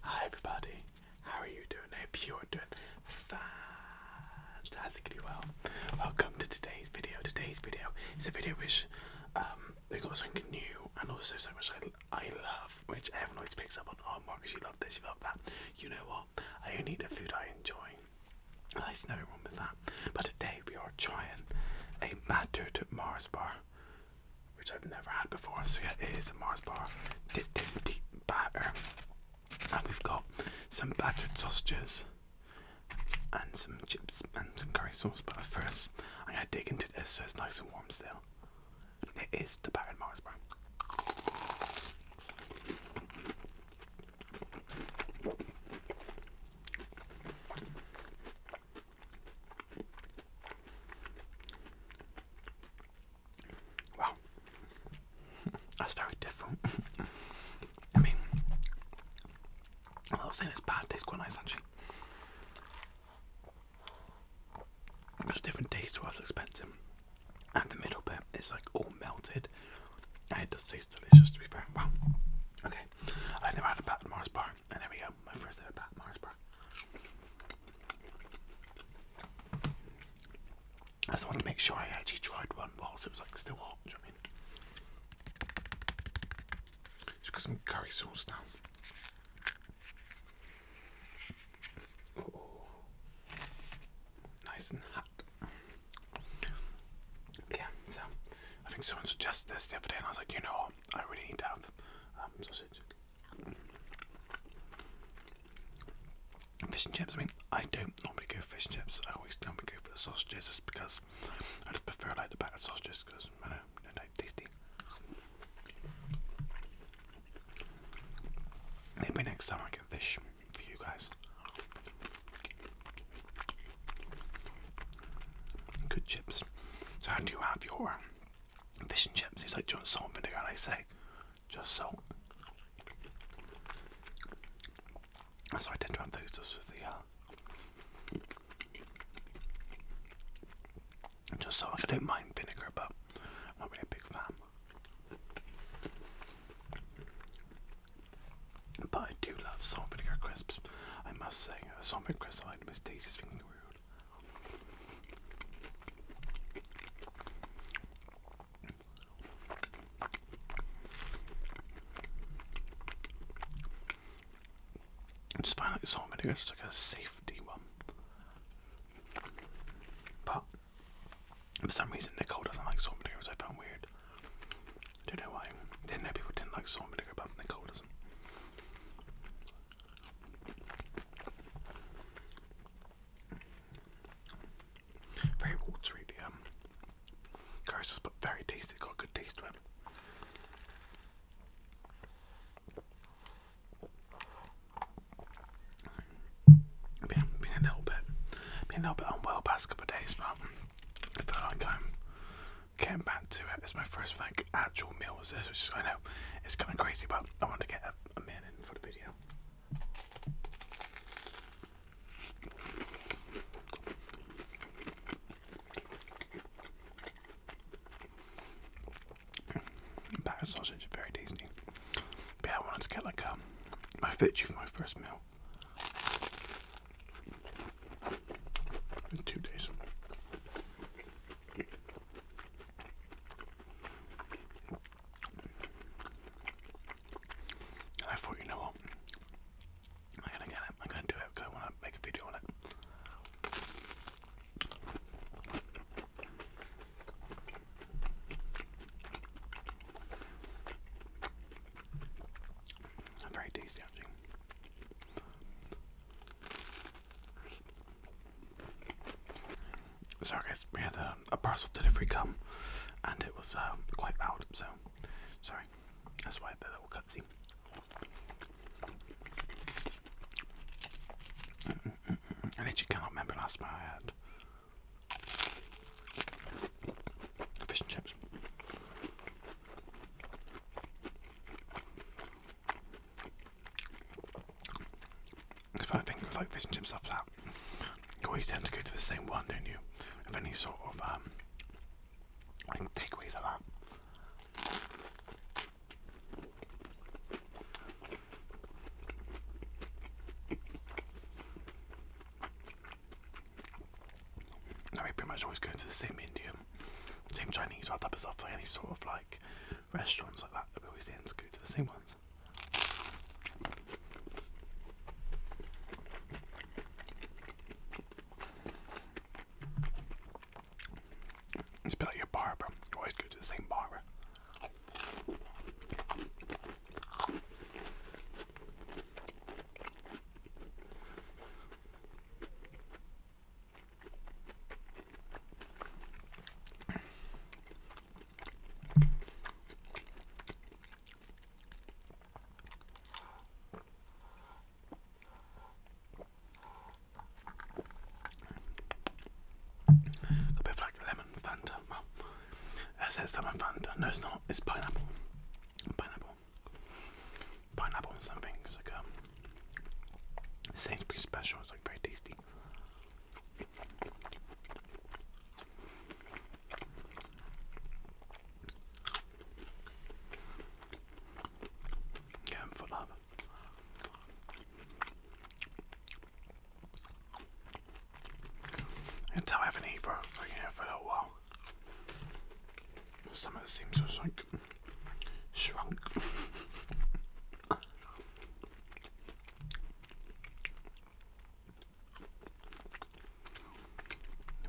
Hi everybody, how are you doing? I hope doing fantastically well. Welcome to today's video. Today's video is a video which um, we got something new and also so much I, love, which everyone always picks up on. Oh Marcus, you love this, you love that. You know what? I only eat the food I enjoy. And there's nothing wrong with that. But today we are trying a Matter to Mars bar which I've never had before. So yeah, it is a Mars bar dip dip deep batter, and we've got some battered sausages and some chips and some curry sauce. But first, I'm gonna dig into this so it's nice and warm still. It is the battered Mars bar. Wow, that's very different. I mean, I was saying it's tastes quite nice actually. It's different taste to what I and the middle bit is like all melted. And it does taste delicious to be fair. Wow, okay, I think I had a bad Mars bar. And there we go, my first ever Pat Mars I just want to make sure I actually tried one whilst it was like still hot, do you know what I mean? curry sauce now. nice and hot. Yeah, so I think someone suggested this the other day, and I was like, you know what, I really need to have um, fish and chips. I mean, I don't normally go fish and chips. I always normally go for the sausages, just because I just prefer like the battered sausages because I know they're like, tasty. Maybe next time I get fish for you guys. Good chips. So how do you have your fish and chips? It's like, do you salt vinegar? And I say, just salt. That's so I tend to have those just with the uh, just salt. I don't mind vinegar, but I'm not really a big fan. But I do love salt vinegar crisps. I must say, a uh, salt vinegar crisp item is tastiest thing in the world. I just find like salt vinegar is like a safety one. But for some reason Nicole doesn't like salt vinegar, which I found weird. I don't know why. I didn't know people didn't like salt vinegar, but Nicole doesn't. Very watery, the um, very tasty. Got good taste to it. Been, a bit, been a bit unwell past couple days, but I feel like I'm back to it. It's my first like actual meal was this, which I know it's kind of crazy, but I wanted to get a, meal in for the video. That sausage is very tasty. But I wanted to get like um, my fitchy for my first meal. In two days. And I thought, you know what? I'm gonna get it. I'm gonna do it because I want to make a video on it. Very tasty, actually. Sorry, guys, we had a, a parcel delivery come and it was uh, quite loud, so sorry. That's why the little cutscene. I literally cannot remember last time I had Fish and chips. The funny thing with fish and chips after that, you always tend to go to the same one, don't you? Of any sort of um, takeaways like that. Now we pretty much always go to the same Indian, same Chinese, or type of stuff, like any sort of like restaurants like that. We always tend to go to the same ones. It's a your barber. Always go to the same barber. A bit of like lemon lemon Fanta. Well, it says lemon Fanta. No, it's not. It's pineapple. Pineapple. Pineapple and something. It's like um, special. It's like very tasty. Yeah, I'm full up. Until I haven't eaten evo for, you know, for a little while. My stomach seems to just like shrunk.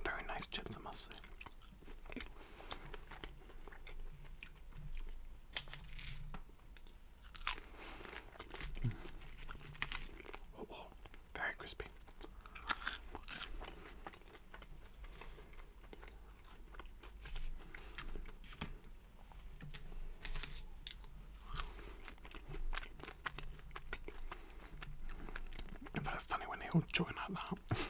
Very nice chips, I must say. Oh, very crispy. It's funny when they all join like that.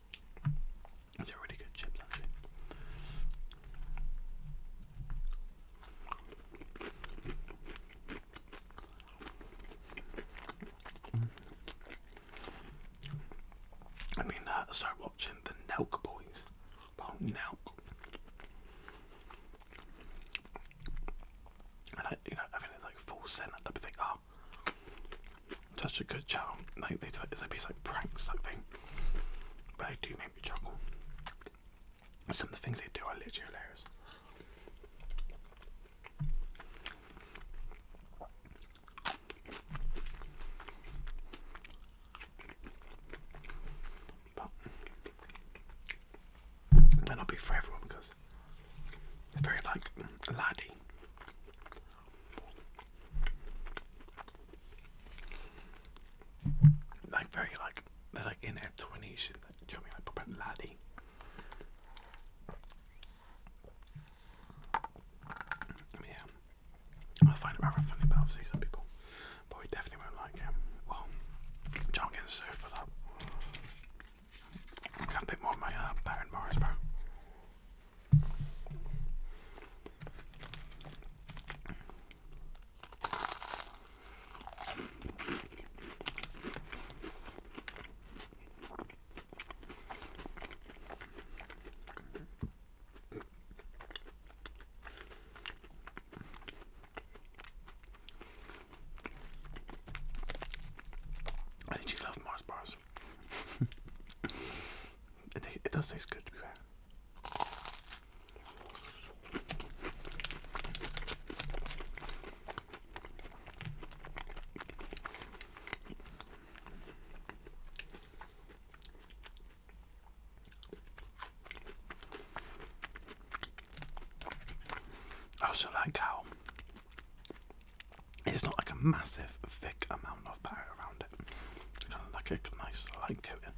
They're really good chips, actually. I mean, uh, I start watching the Nelk Boys. Well, Nelk. And you know, I mean, it's like full send type thing. Oh, such a good channel. Like they, it's a piece like pranks type thing, but they do make me chuckle. Some of the things they do are literally hilarious. But it may not be for everyone because they're very like laddie. Like very like they're like in their twenties and do you know what I mean like proper laddie. Yeah. I find it rather funny but obviously some people probably definitely won't like him. Um, well John gets sued for that. Got a bit more of my uh, Baron Morris bro. I think you love Mars bars. it, it does taste good I also like how it's not like a massive, thick amount of butter around it. Kind of like a nice light coating.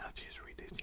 I just read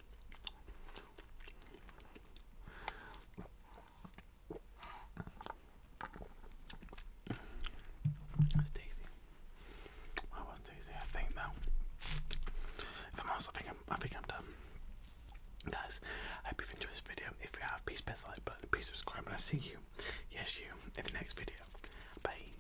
That's tasty. That was tasty. I think now. If I'm honest, think i think I'm done. Guys, I hope you've enjoyed this video. If you have, please press the like button, please subscribe, and I'll see you, yes you, in the next video. Bye.